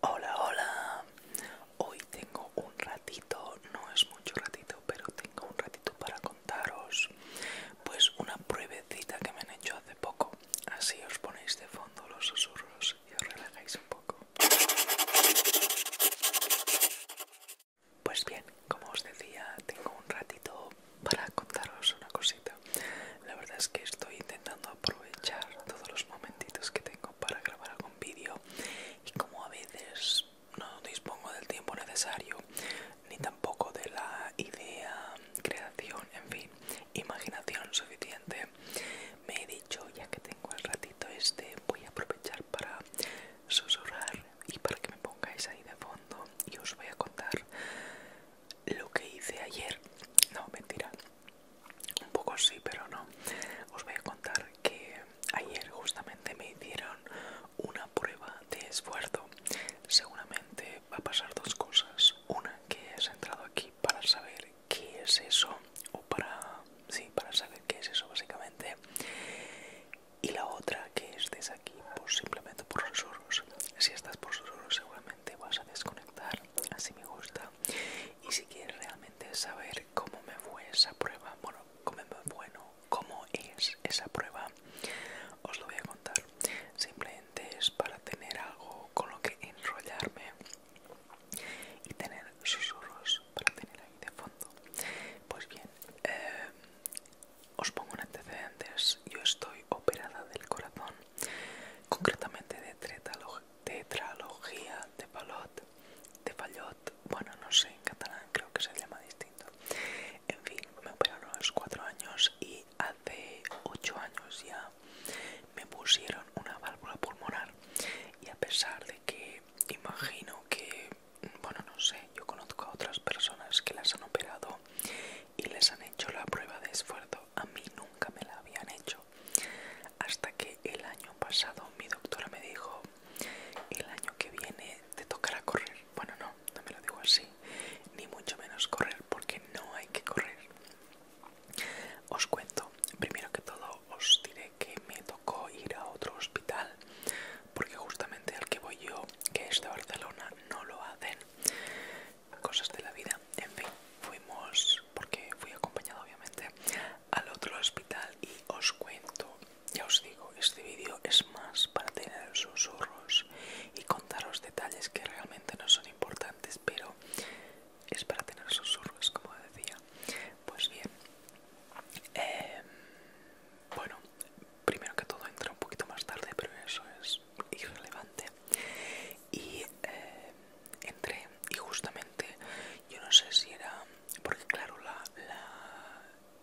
Hola, hola. Hoy tengo un ratito, no es mucho ratito, pero tengo un ratito para contaros pues una pruebecita que me han hecho hace poco. Así os ponéis de fondo los susurros y os relajáis un poco. Pues bien, como os decía, tengo un ratito para contaros una cosita. La verdad es que estoy intentando aprovechar todos los momentitos que tengo para grabar algún vídeo y como a veces no dispongo del tiempo necesario ni tampoco de la idea, creación, en fin, imaginación suficiente, me he dicho ya que tengo el ratito este voy a aprovechar para susurrar y para que me pongáis ahí de fondo y os voy a contar lo que hice ayer. No, mentira. Un poco sí, pero no. Os voy a contar que ayer justamente me hicieron una prueba de esfuerzo. Seguramente va a pasar dos cosas. Una, que es entrado aquí para saber qué es eso. O para... Sí, para saber qué es eso básicamente. Y la otra, que estés aquí por simplemente por susurros. Si estás por susurros seguramente vas a desconectar así me gusta. Y si quieres realmente saber cómo me fue esa prueba, bueno, cómo, bueno, cómo es esa prueba, os lo voy a contar. Simplemente es para tener algo con lo que enrollarme y tener susurros para tener ahí de fondo. Pues bien, eh, os pongo un antecedentes. Yo estoy operada del corazón concretamente de tetralogía de Palot, de Fallot bueno, no sé, en catalán creo que se llama distinto. En fin, me operaron a los cuatro años y hace 8 años ya me pusieron una válvula pulmonar y a pesar de que imagino que, bueno, no sé, yo conozco a otras personas que las han operado y les han hecho la prueba de esfuerzo a mí nunca me la habían hecho. Hasta que el año pasado mi doctora me dijo, el año que viene te tocará correr. Bueno, no, no me lo digo así, ni mucho menos correr, porque no hay que correr. Os cuento, primero que todo os diré que me tocó ir a otro hospital, porque justamente al que voy yo, que es de Barcelona, no lo hacen cosas de la vida. En fin, fuimos, porque fui acompañado obviamente, al otro hospital y os cuento, ya os digo, este vídeo es más para tener susurros y contaros detalles que realmente no son importantes, pero es para tener susurros, como decía. Pues bien, em, bueno, primero que todo entra un poquito más tarde, pero eso es irrelevante y eh, entré y justamente yo no sé si era porque claro la,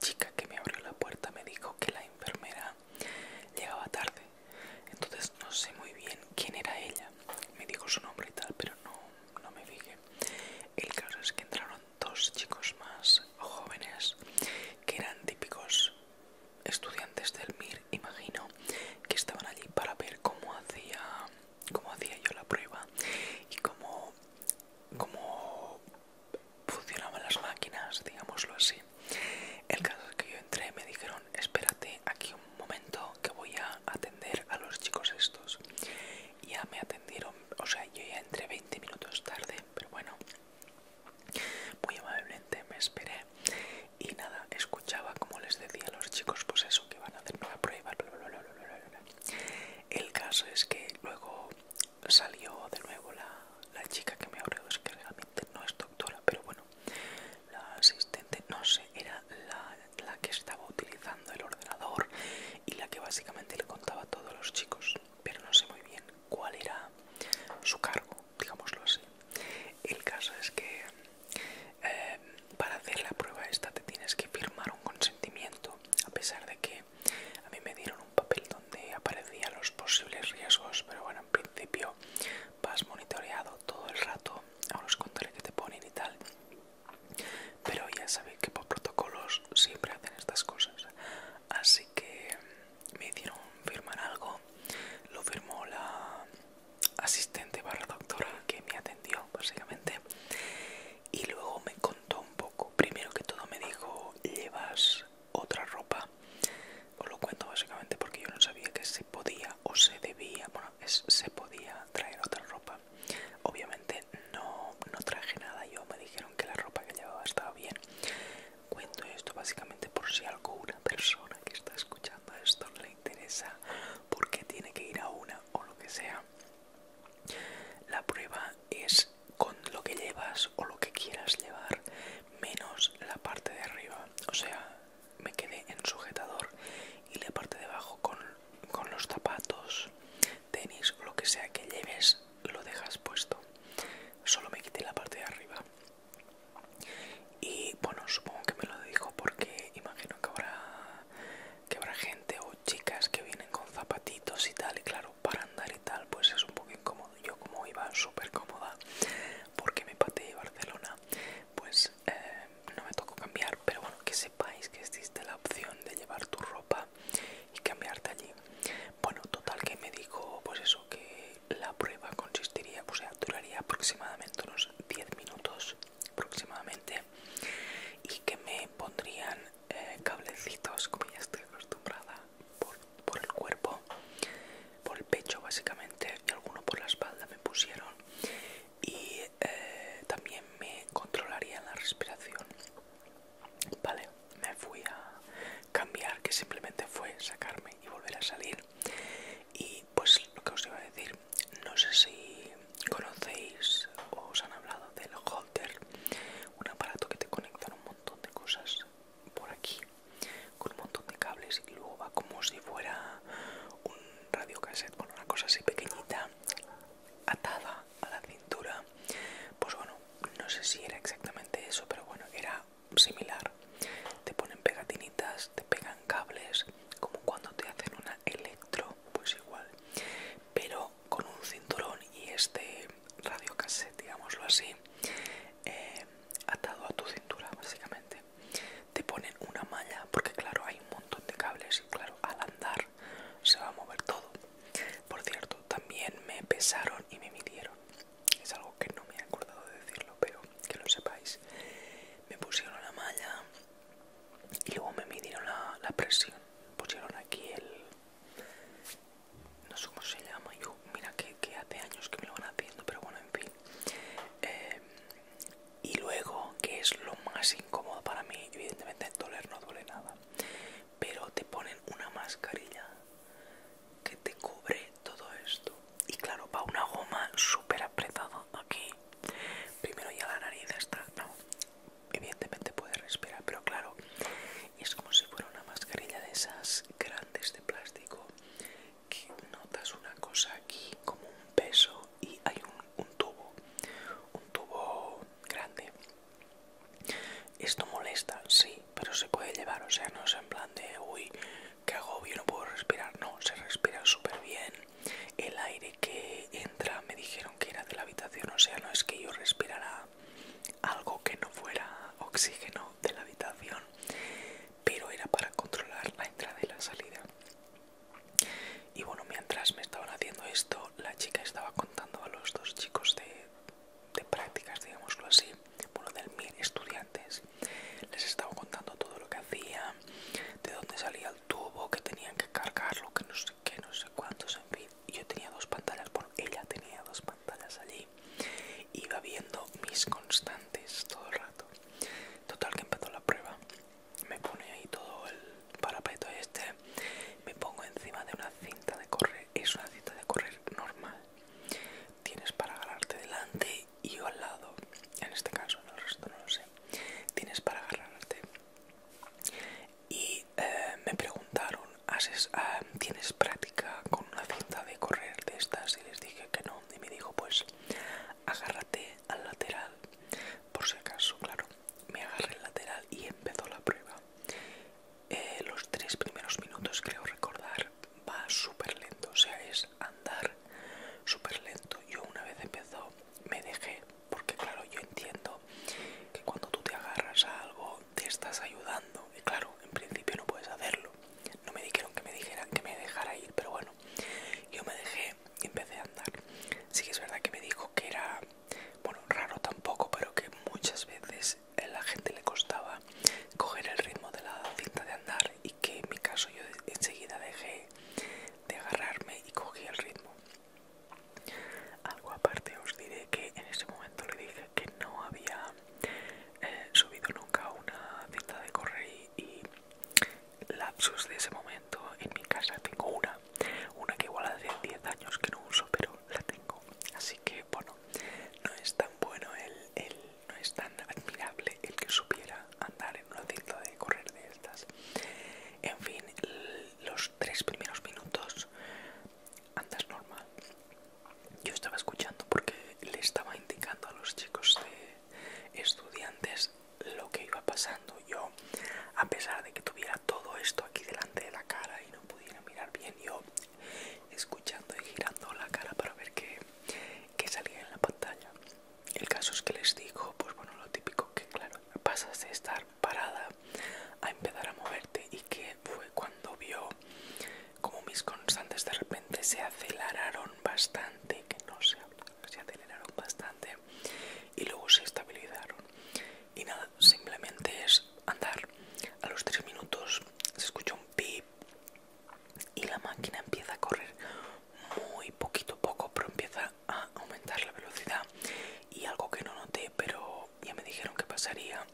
chica que me abrió la puerta me dijo que la enfermera llegaba tarde entonces no sé muy bien quién era ella me dijo su nombre y tal pero no, no me fijé el caso es que entraron dos chicos más jóvenes que eran típicos estudiantes del MIR, imagino, que estaban allí para ver cómo hacía, cómo hacía yo la prueba y cómo, cómo funcionaban las máquinas, digámoslo así. El caso es que yo entré, me dijeron, espérate aquí un momento que voy a atender a los chicos estos. Ya me atendieron, o sea, yo ya entré 20 minutos tarde, pero bueno. Muy amablemente me esperé y nada, escuchaba como les decía a los chicos, pues eso, que van a hacer no prueba, El caso es que luego salió de nuevo la, chica que me abrió, es que realmente no es doctora, pero bueno, la asistente, no sé, era la, la que estaba utilizando el ordenador y la que básicamente le contaba a todos los chicos, pero no sé muy bien cuál era su cargo digámoslo así. El caso es que eh, para hacer la prueba esta te tienes que firmar un consentimiento, a pesar de que a mí me dieron un papel donde aparecían los posibles riesgos, pero bueno, en principio vas monitoreado todo el rato, a os controles que te ponen y tal. Pero ya sabéis que por protocolos siempre hacen estas cosas, así que me hicieron firmar algo, lo firmó la asistente barra doctora que me atendió básicamente y luego me contó un poco, primero que todo me dijo llevas otra ropa, os lo cuento básicamente porque yo no sabía que se podía o se debía, bueno se podía traer otra ropa, obviamente no, no traje nada, yo me dijeron que la ropa que llevaba estaba bien Cuento esto básicamente por si alguna persona que está escuchando esto le interesa porque tiene que ir a una o lo que sea. La prueba es con lo que llevas o lo que quieras llevar menos la parte de arriba. O sea, me quedé en sujetador y la parte de abajo con, los zapatos, tenis, o lo que sea que lleves lo dejas puesto solo me quité la parte de arriba y bueno supongo que me lo dijo porque imagino que habrá que habrá gente o chicas que vienen con zapatitos y tal y claro para andar y tal pues es un poco incómodo yo como iba súper cómoda porque me pateé Barcelona pues eh, no me tocó cambiar pero bueno que sepáis que existe la opción de llevar tu ropa y cambiarte allí. Bueno, total que me dijo pues eso, que la prueba consistiría, pues sea, duraría aproximadamente unos 10 minutos aproximadamente y que me pondrían eh, cablecitos, como ya estoy acostumbrada, por, el cuerpo, por el pecho básicamente y alguno por la espalda me pusieron y eh, también me controlarían la respiración Vale, me fui a cambiar, que simplemente fue sacarme y volver a salir. Y pues lo que os iba a decir, no sé si conocéis o os han hablado del holter, un aparato que te conecta a un montón de cosas por aquí, con un montón de cables y luego va como si fuera un cassette bueno, una cosa así pequeñita, atada a la cintura. Pues bueno, no sé si era exactamente eso, pero bueno, era similar. Te ponen pegatinitas, te pegan cables, como cuando te hacen una electro, pues igual, pero con un cinturón y este radiocasete, digámoslo así, eh, atado a tu cintura, básicamente. Te ponen una malla, porque claro, hay un montón de cables y claro, al andar se va a mover todo. Por cierto, también me pesaron y me midieron. Es algo que no me he acordado de decirlo, pero que lo sepáis. Me pusieron la malla y luego me midieron la, presión. Pusieron aquí el... No sé cómo se llama. Yo, mira que, hace años que me lo van haciendo, pero bueno, en fin. Eh, y luego, que es lo más incómodo para mí, evidentemente doler no duele nada pero te ponen una mascarilla que te cubre todo esto. Y claro, va una goma súper apretada aquí. Primero ya la nariz está, no, evidentemente puede respirar, pero claro, es como si fuera una mascarilla de esas grandes de plástico que notas una cosa aquí como un peso y hay un, un tubo, un tubo grande esto molesta, sí, pero se puede llevar, o sea, no es en plan de, uy, qué agobio, no puedo respirar, no, se respira súper bien. El aire que entra me dijeron que era de la habitación, o sea, no es que yo respirara algo que no fuera oxígeno de la habitación, pero era para controlar la entrada y la salida. Y bueno, mientras me estaban haciendo esto, la chica estaba contando a los dos chicos de, de prácticas, digámoslo así, bueno, del mil estudiantes. Les estaba contando todo lo que hacía, de dónde salía el tubo, que tenían que cargarlo, que no sé qué, no sé cuántos, en fin. Yo tenía dos pantallas, bueno, ella tenía dos pantallas allí. Iba viendo mis constantes todo el rato. Total que empezó la prueba. Me pone ahí todo el parapeto este me pongo encima de una cinta de correr es una cinta de correr normal tienes para agarrarte delante y al lado en este caso el resto no lo sé tienes para agarrarte y eh, me preguntaron ¿Haces, ah, tienes práctica con una cinta de correr de estas y les dije que no y me dijo pues agárrate al lateral por si acaso claro me agarré al lateral y empezó la prueba eh, los tres primeros minutos creo recordar va súper lento o sea es andar súper lento yo una vez empezó me dejé porque claro yo entiendo que cuando tú te agarras a algo te estás ayudando y claro en principio no puedes hacerlo no me dijeron que me dijeran que me dejara ir pero bueno yo me dejé y empecé a andar sí que es verdad que me dijo que era bueno, raro tampoco, pero que muchas veces a la gente le costaba coger el ritmo de la cinta de andar y que en mi caso yo enseguida dejé de agarrarme y cogí el ritmo. Algo aparte os diré que en ese momento le dije que no había eh, subido nunca una cinta de correr y lapsus de ese momento en mi casa tengo una una que igual hace 10 años que no uso, pero la tengo. Así que bueno, no es tan bueno el, no es tan admirable el que supiera andar en una cinta de correr de estas. En fin, los tres primeros minutos andas normal. Yo estaba escuchando porque le estaba indicando a los chicos de estudiantes lo que iba pasando. Yo a pesar de que tuviera todo esto aquí delante de la cara y no pudiera mirar bien, yo escuchando y girando la cara para ver qué, salía en la pantalla. El caso es que les digo, pues bueno, lo típico que claro, pasas de estar parada a empezar a moverte y que fue cuando vio como mis constantes de repente se aceleraron bastante, que no se, se aceleraron bastante y luego se estabilizaron. Y nada, simplemente es andar. A los tres minutos se escucha un pip y la máquina empieza a correr muy poquito a poco, pero empieza a aumentar la velocidad. Y algo que no noté, pero ya me dijeron que pasaría,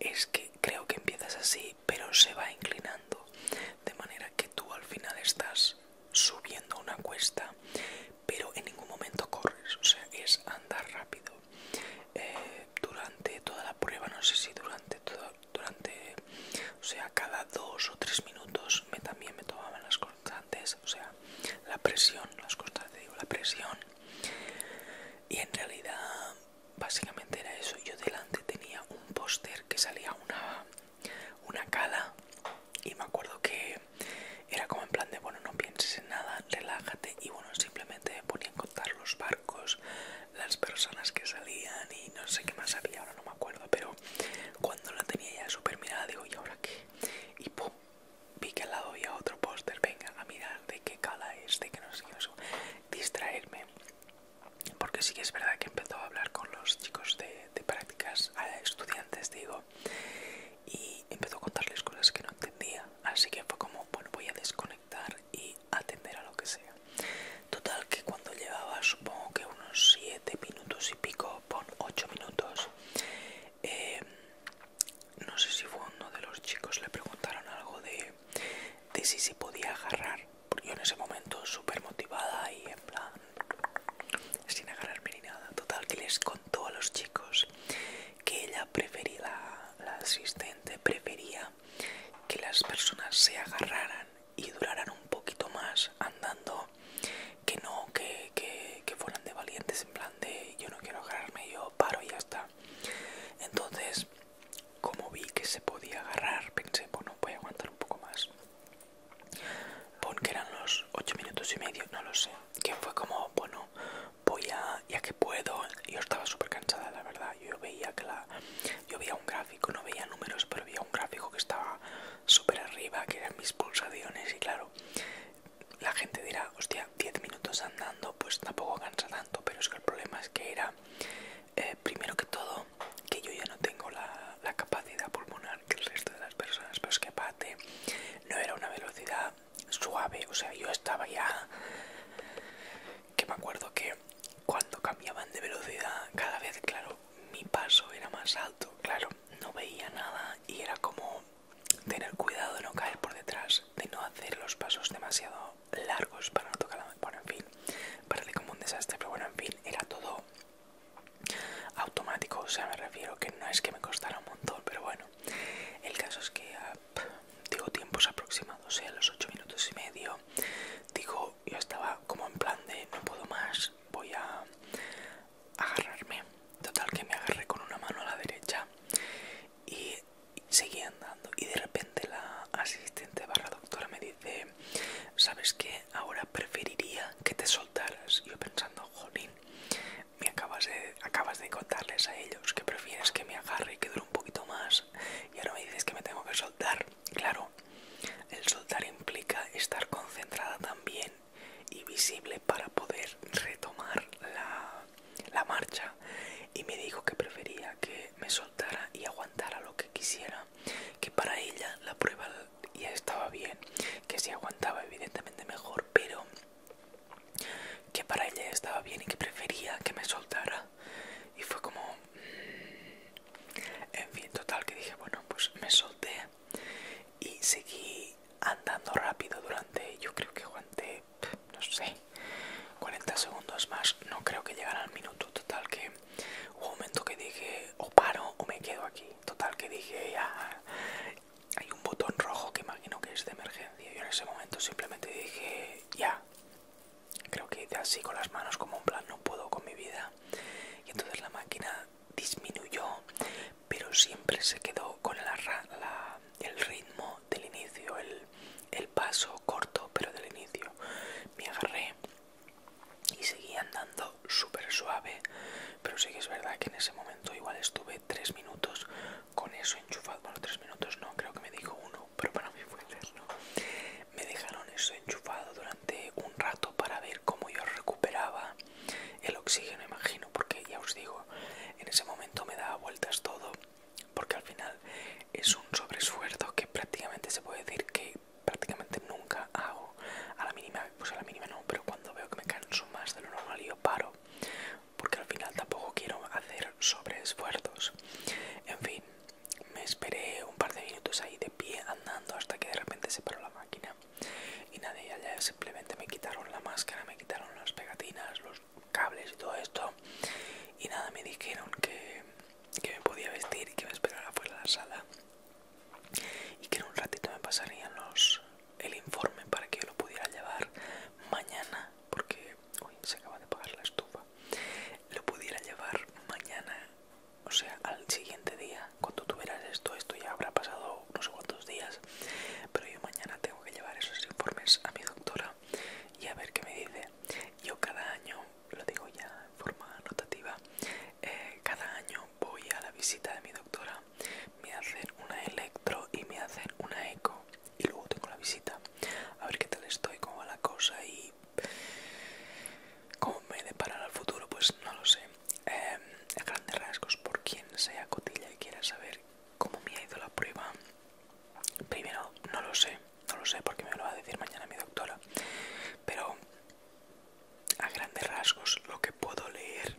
es que creo que empiezas así, pero se va inclinando. De manera que tú al final estás subiendo una cuesta, pero en ningún momento corres, o sea, es andar rápido. Eh, durante toda la prueba, no sé si durante todo, durante, o sea, cada dos o tres minutos me también me tomaban las constantes, o sea, la presión, las constantes, digo, la presión. Y en realidad, básicamente era eso. Yo delante tenía un póster que salía una una cala y me acuerdo que era como en plan de bueno no pienses en nada relájate y bueno simplemente me ponía contar los barcos las personas que salían y no sé qué más había ahora no me acuerdo pero cuando la tenía ya súper mirada digo y ahora qué y pum vi que al lado había otro póster venga a mirar de qué cala es de que no sé qué distraerme porque sí que es verdad que empezó a hablar con los chicos de de, prácticas a estudiantes, digo, y empezó a contarles cosas que no entendía, así que fue como, bueno, voy a desconectar y atender a lo que sea. Total que cuando llevaba supongo que unos 7 minutos y pico, por 8 minutos, eh, no sé si fue uno de los chicos, le preguntaron algo de, de si se podía agarrar, porque yo en ese momento súper motivada y en plan, sin agarrarme ni nada. Total, que les contó a los chicos que ella prefería, la, asistente prefería que las personas se agarraran y duraran un poquito más andando que no que, que, que fueran de valientes en plan de yo no quiero agarrarme, yo paro y ya está. Entonces, como vi que se podía agarrar, pensé, bueno, voy a aguantar un poco más. Pon que eran los 8 minutos y medio, no lo sé. Que fue como, bueno, voy a, ya que puedo. Yo estaba súper cansada, la verdad. Yo veía que la, yo veía un gráfico, no veía números, pero veía un gráfico que estaba súper arriba, que eran mis pulsaciones. Y claro, la gente dirá, hostia, 10 minutos andando, pues tampoco cansa tanto. Pero es que el problema es que era, eh, primero que todo, que yo ya no tengo la, la capacidad pulmonar que el resto de las personas, pero es que aparte no era una velocidad suave, o sea, yo estaba ya que me acuerdo que cuando cambiaban de velocidad cada vez, claro, mi paso era más alto, claro, no veía nada y era como tener cuidado de no caer por detrás, de no hacer los pasos demasiado largos para no tocar la... Bueno, en fin, parece como un desastre, pero bueno, en fin, era todo automático, o sea, me refiero que no es que me costara un montón, pero bueno, el caso es que ah, digo tiempos aproximados, o ¿eh? a los 8 minutos y medio, digo, yo estaba como en plan de no puedo más, voy a agarrarme, total que me agarré con una mano a la derecha y seguí andando y de repente la asistente barra doctora me dice, ¿sabes qué? ahora preferiría que te soltaras. Yo pensando, jolín, me acabas de, acabas de contarles a ellos que prefieres que me agarre y que dure un poquito más. Y ahora me dices que me tengo que soltar. Claro, el soltar implica estar concentrada también y visible para poder retomar la, la marcha. Y me dijo que prefería que me soltara y aguantara lo que quisiera que para ella la prueba ya estaba bien, que si aguantaba evidentemente mejor, pero que para ella estaba bien y que prefería que me soltara. Y fue como... Mm, en fin, total, que dije, bueno, pues me solté y seguí andando rápido durante, yo creo que aguanté, no sé, 40 segundos más, no creo que llegara al minuto, total que un momento que dije, o paro o me quedo aquí. Total, que dije, ya. Hay un botón rojo que imagino que es de emergencia. y en ese momento simplemente dije, ya. Creo que así con las manos, como un plan, no puedo con mi vida. Y entonces la máquina disminuyó, pero siempre se quedó con el ritmo del inicio, el paso corto, pero del inicio. Me agarré y seguía andando súper suave pero sí que es verdad que en ese momento igual estuve tres minutos con eso enchufado bueno tres minutos no creo que me dijo uno pero para mí fue eterno me dejaron eso enchufado durante un rato para ver cómo yo recuperaba el oxígeno imagino porque ya os digo en ese momento me daba vueltas todo porque al final es un sobresfuerzo que prácticamente se puede decir que prácticamente nunca hago. A la mínima, pues a la mínima no, pero cuando veo que me canso más de lo normal yo paro. Porque al final tampoco quiero hacer sobreesfuerzos. En fin, me esperé un par de minutos ahí de pie andando hasta que de repente se paró la máquina. Y nada, y ya simplemente me quitaron la máscara, me quitaron las pegatinas, los cables y todo esto. Y nada, me dijeron que que me podía vestir, y que me esperara fuera de la sala y que en un ratito me pasarían los, el informe para que yo lo pudiera llevar mañana, porque hoy se acaba de pagar la estufa, lo pudiera llevar mañana, o sea, al siguiente día, cuando tuvieras esto, esto ya habrá pasado unos cuantos días, pero yo mañana tengo que llevar esos informes a mi doctora y a ver qué me dice. Yo cada año lo digo ya en forma anotativa. Eh, cada año voy a la visita de mi doctora, me hacen una electro y me hacen una eco y luego tengo la visita, a ver qué tal estoy, cómo va la cosa y cómo me deparará el futuro, pues no lo sé. Em, a grandes rasgos, por quien sea cotilla y quiera saber cómo me ha ido la prueba, primero no lo sé, no lo sé porque me lo va a decir mañana mi doctora. Pero a grandes rasgos lo que puedo leer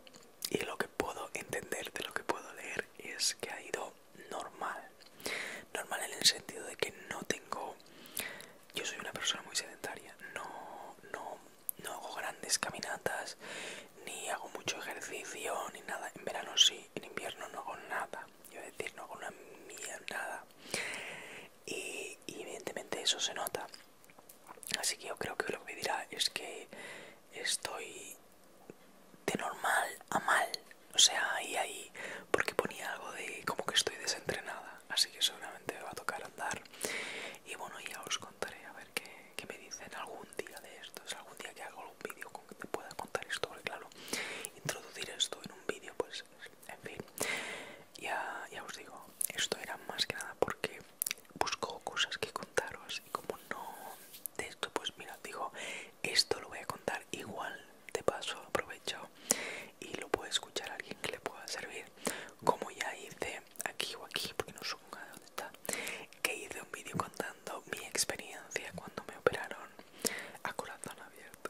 y lo que puedo entender de lo que puedo leer es que ha ido normal. Normal en el sentido de que no tengo... Yo soy una persona muy sedentaria, no, no, no hago grandes caminatas, ni hago mucho ejercicio, ni nada. En verano sí, en invierno no hago nada yo decir, no con una mierda. Y, y evidentemente eso se nota. Así que yo creo que lo que dirá es que estoy de normal a mal. O sea, y ahí, porque ponía algo de como que estoy desentrenada. Así que seguramente me va a tocar andar. Y bueno, ya os contaré a ver qué, me dicen algún día de esto es Algún día que hago un vídeo con que te pueda contar esto. claro, introducir esto un vídeo, pues en fin. Ya, os digo, esto era más que nada porque busco cosas que contaros y como no de esto, pues mira, digo, esto lo voy a contar igual, de paso aprovecho y lo puede escuchar alguien que le pueda servir. Como ya hice aquí o aquí, porque no supongo dónde está, que hice un vídeo contando mi experiencia cuando me operaron a corazón abierto.